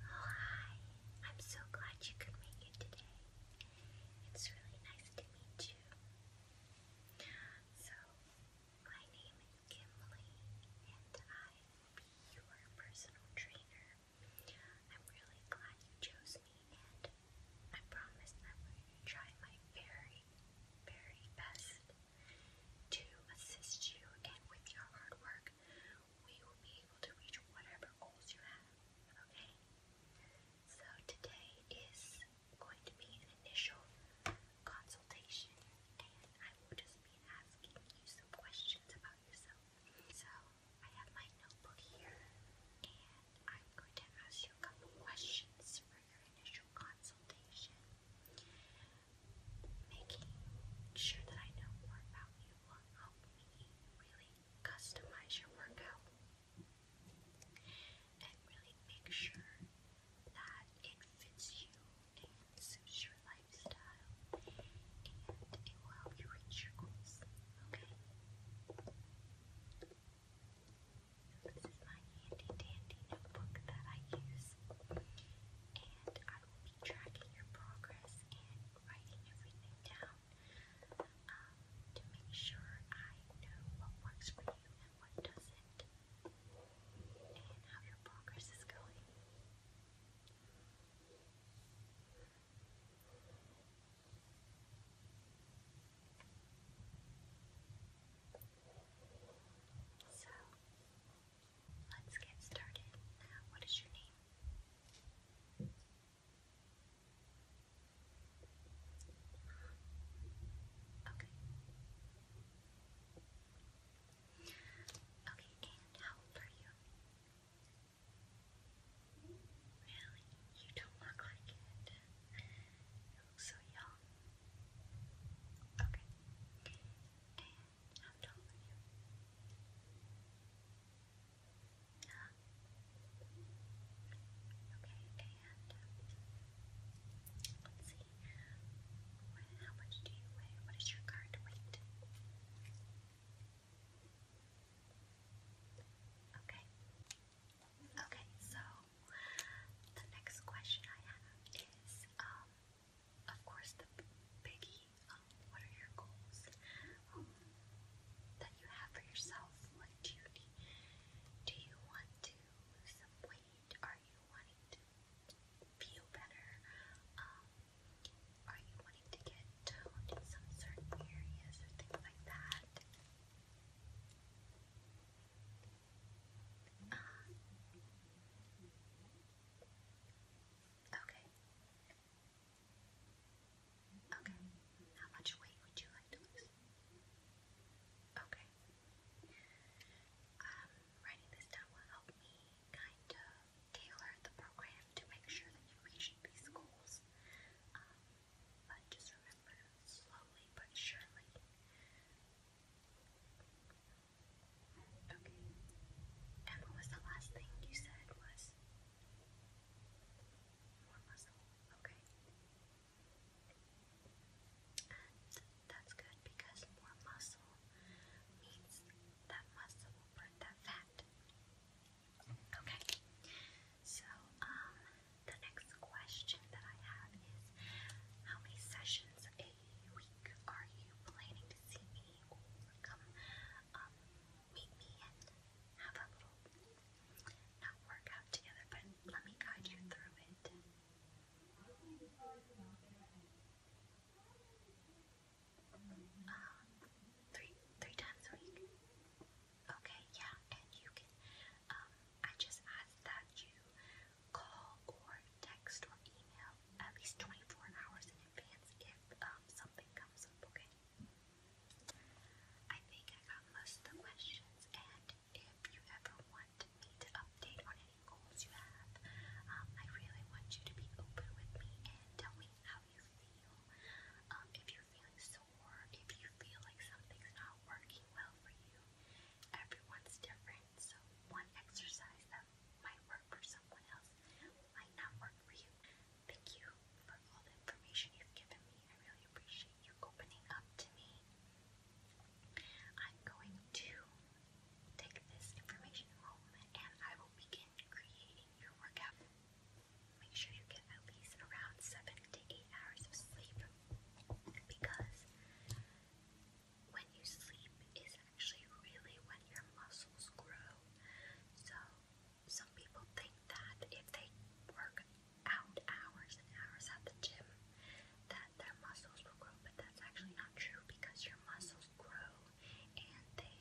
hi. I'm so glad you could make it today. It's really nice to meet you. So, my name is Kimberly, and I will be your personal trainer. I'm really glad you chose me, and I promise I will try my very, very best to assist you, and with your hard work, we will be able to reach whatever goals you have. Okay? So, today is going to be an initial consultation, and I will just be asking you some questions about yourself. So, I have my notebook here, and I'm going to ask you a couple questions for your initial consultation making sure that I know more about you will help me really customize your workout and really make sure that it fits you and suits your lifestyle and it will help you reach your goals. Okay? This is my handy dandy notebook that I use and I will be tracking your progress and writing everything down um, to make sure I know what works for you and what doesn't, and how your progress is going. So, Let's get started. What is your name? Okay. Okay, how old are you? Really? You don't look like it. Oh, so young. Okay. And Okay, and um, let's see. how much do you weigh? What is your current weight? Okay. Okay, so the next question I have is, um, of course, the biggie. Um, what are your goals um, that you have for yourself? do you do you want to lose some weight? Are you wanting to feel better? are you wanting to get toned in some certain areas or things like that? Uh, okay. Okay. How much weight would you like to lose? Okay. Um, writing this down will help me kind of tailor the program to make sure that you reach these goals. Um, but just remember, slowly but surely, Okay. And what was the last thing you said was more muscle? Okay. that's good because more muscle means that muscle will burn that fat. Okay. So, um, the next question that I have is how many sessions a week are you planning to see me or come um, meet me and have a little not workout together, but let me guide you through it. Um, three three times a week. Okay, yeah, and you can um, I just ask that you call or text or email at least 24 hours in advance if um, something comes up, okay? I think I got most of the questions, and if you ever want me to update on any goals you have, um, I really want you to be open with me and tell me how you feel. if you're feeling so if you feel like something's not working well for you, everyone's different. So, one exercise that might work for someone else might not work for you. Thank you for all the information you've given me. I really appreciate you opening up to me. I'm going to take this information home and I will begin creating your workout. Make sure you get at least around 7 to 8 hours of sleep because when you sleep is actually really when your muscles grow. So some people think that if they work out hours and hours at the gym that their muscles will grow, but that's actually not true because your muscles grow and they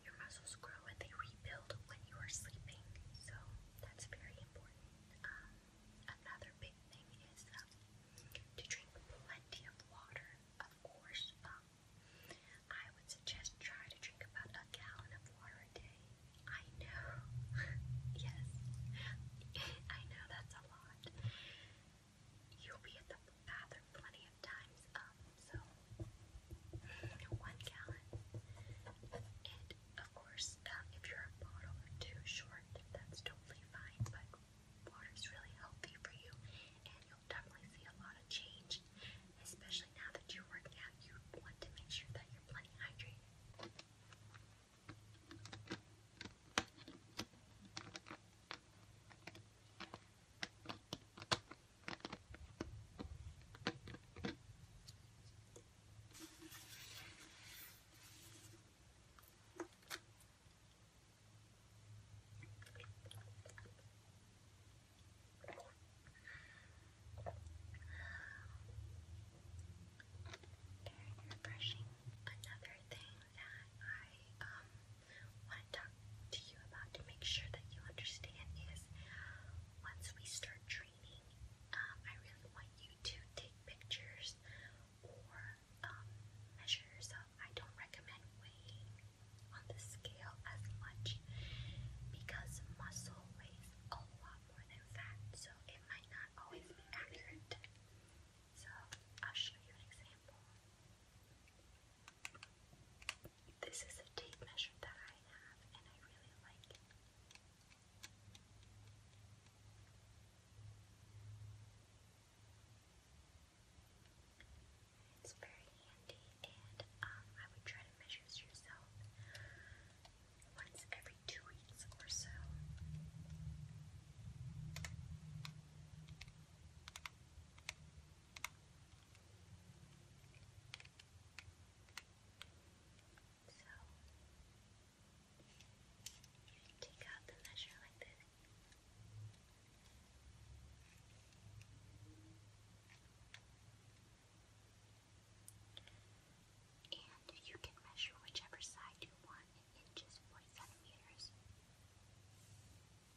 your muscles grow and they rebuild when you are sleeping. So that's very important. Um, another big thing is um, to drink plenty of water, of course. Um, I would suggest try to drink about a gallon of water a day. I know, yes, I know that's a lot. You'll be at the bathroom plenty of times, so one gallon. And of course, um, if you're a bottle or two short, that's totally fine. But water is really healthy for you, and you'll definitely see a lot of change, especially now that you're working out. You want to make sure that you're plenty hydrated. Okay, very refreshing. Another thing that I um want to talk about to make sure that you understand is once we start training, um, I really want you to take pictures or um, measure yourself. I don't recommend weighing on the scale as much because muscle weighs a lot more than fat, so it might not always be accurate. So I'll show you an example. This is a tape measure that I have, and I really like it. It's very handy, and um, I would try to measure yourself once every two weeks or so. So take out the measure like this. And you can measure whichever side you want in inches or centimeters. It's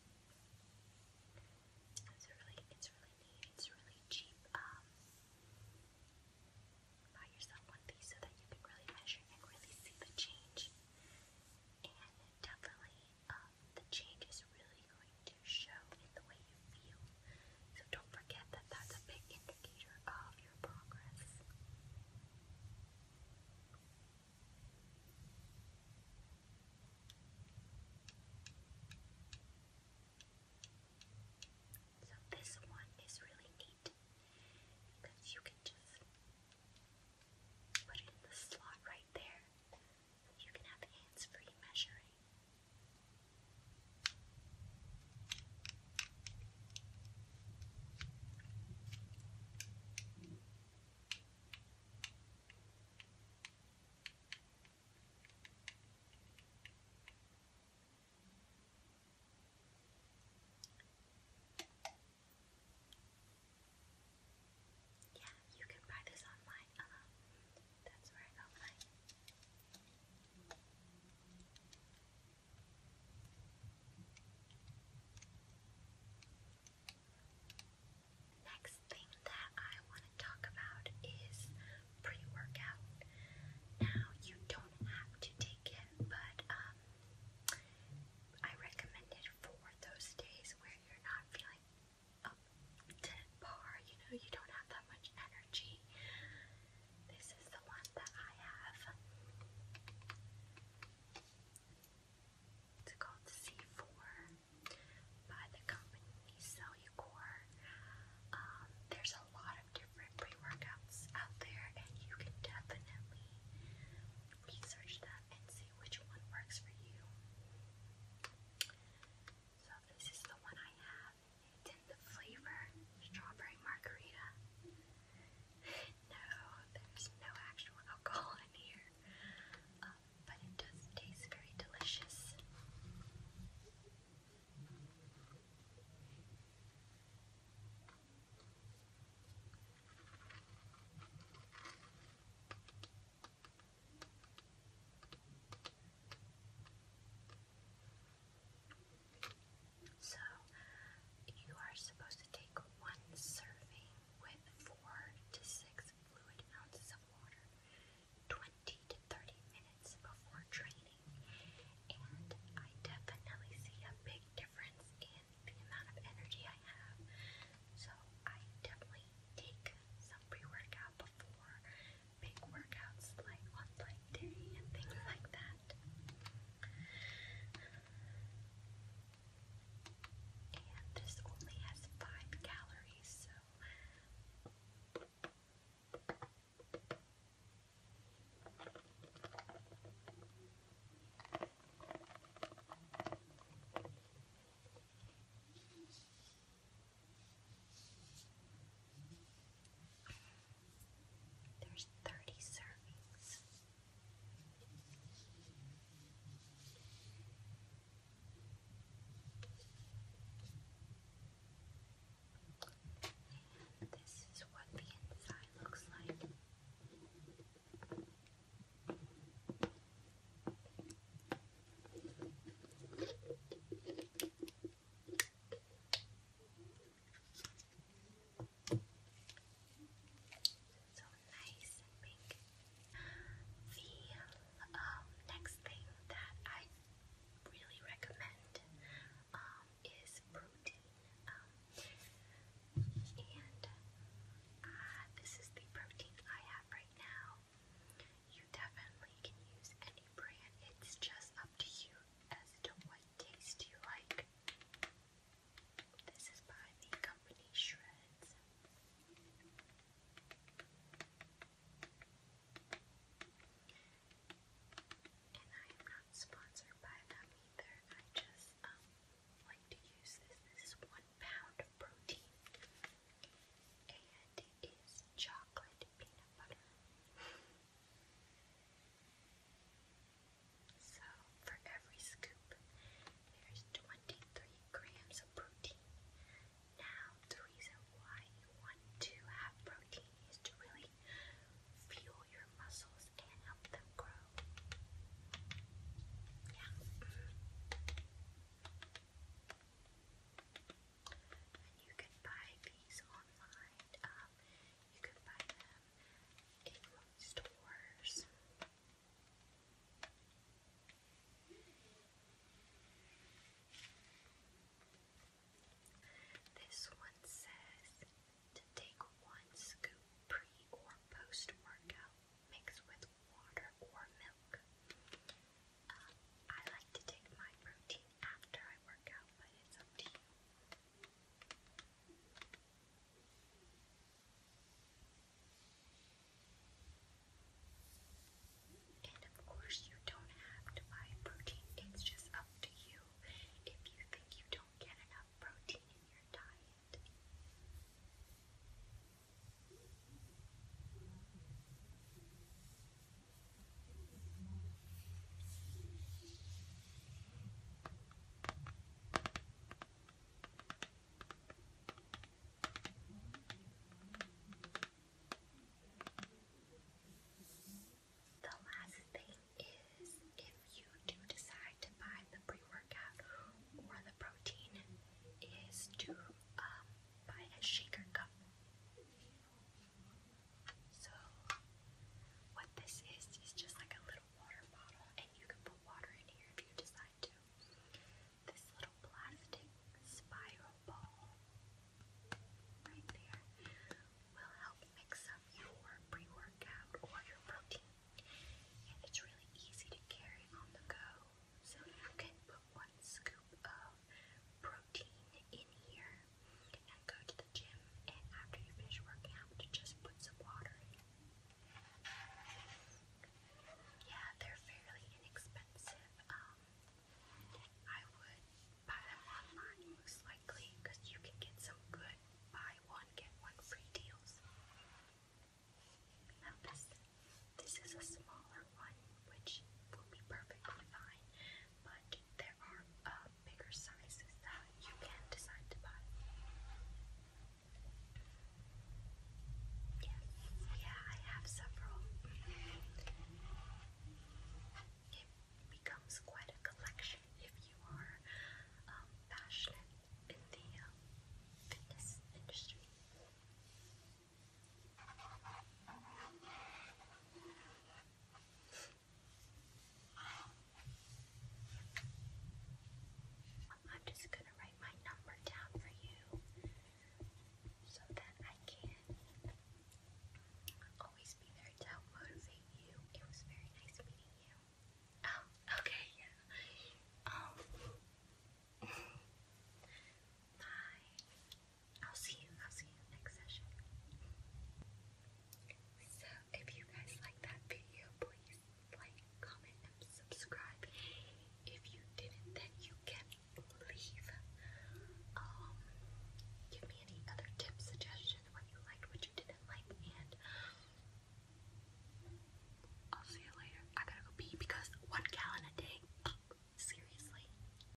really, it's really neat. It's really cheap. Um, buy yourself one of these so that you can really measure and really see the change. And definitely, um, the change is really going to show in the way you feel. So don't forget that that's a big indicator of your progress. So this one is really neat because you can just put it in the slot right there. you can have hands-free measuring. Yeah, you can buy this online. Uh, that's where I got mine. Next thing that I want to talk about is pre workout. Now, you don't have to take it, but um, I recommend it for those days where you're not feeling up to par, you know, you don't have that much energy. This is the one that I have. It's called C4 by the company Cellucor. Um, there's a lot of different pre-workouts out there, and you can definitely research them and see which one works for you. So this is the one I have. It's in the flavor strawberry margarita. No, there's no actual alcohol in here, um, but it does taste very delicious. So, you are supposed to take one serving with four to six fluid ounces of water 20 to 30 minutes before training. And I definitely see a big difference in the amount of energy I have. So I definitely take some pre-workout before big workouts like on leg day and things like that. And this only has five calories, so there's 30 servings. This is what the inside looks like. So nice and pink. The um, next thing that I really recommend um, is protein. Um, and uh, this is the protein I have right now. You definitely can use any brand, it's just up to you as to what taste you like. This is by the company Shreds. And I am not sponsored by them either. I just um like to use this. This is one pound of protein. And it is chocolate peanut butter. So, for every scoop, there's 23 grams of protein. Now, the reason why you want to have protein is to really fuel your muscles and help them grow. Yeah. And you can buy these online. Um, you can buy them in stores. This one says to take one scoop pre or post workout mixed with water or milk. Uh, I like to take my protein after I work out, but it's up you. And of course, you don't have to buy protein, it's just up to you if you think you don't get enough protein in your diet. The last thing is if you do decide to buy the pre-workout or the protein is to um, buy a shaker cup. So what this is is just like a little water bottle and you can put water in here if you decide to. This little plastic spiral ball right there will help mix up your pre-workout or your protein. And it's really easy to carry on the go. So you can put one scoop of protein in here and go to the the gym, and after you finish working out, just put some water in. Yeah, they're fairly inexpensive. Um, I would buy them online most likely because you can get some good buy one get one free deals. Now this, this is a smaller one, which will be perfectly fine but there are uh, bigger sizes that you can decide to buy. Yes, yeah, I have several. It becomes quite a collection if you are um, passionate in the um, fitness industry. I'm just going to write my number down for you so that I can always be there to help motivate you. It was very nice meeting you. Oh, okay, yeah. Um, my I'll see you. I'll see you next session. So if you guys like that video, please like, comment, and subscribe. If you didn't, then you can leave. Um, give me any other tips, suggestions, what you liked, what you didn't like, and I'll see you later. I gotta go pee because one gallon a day. Seriously.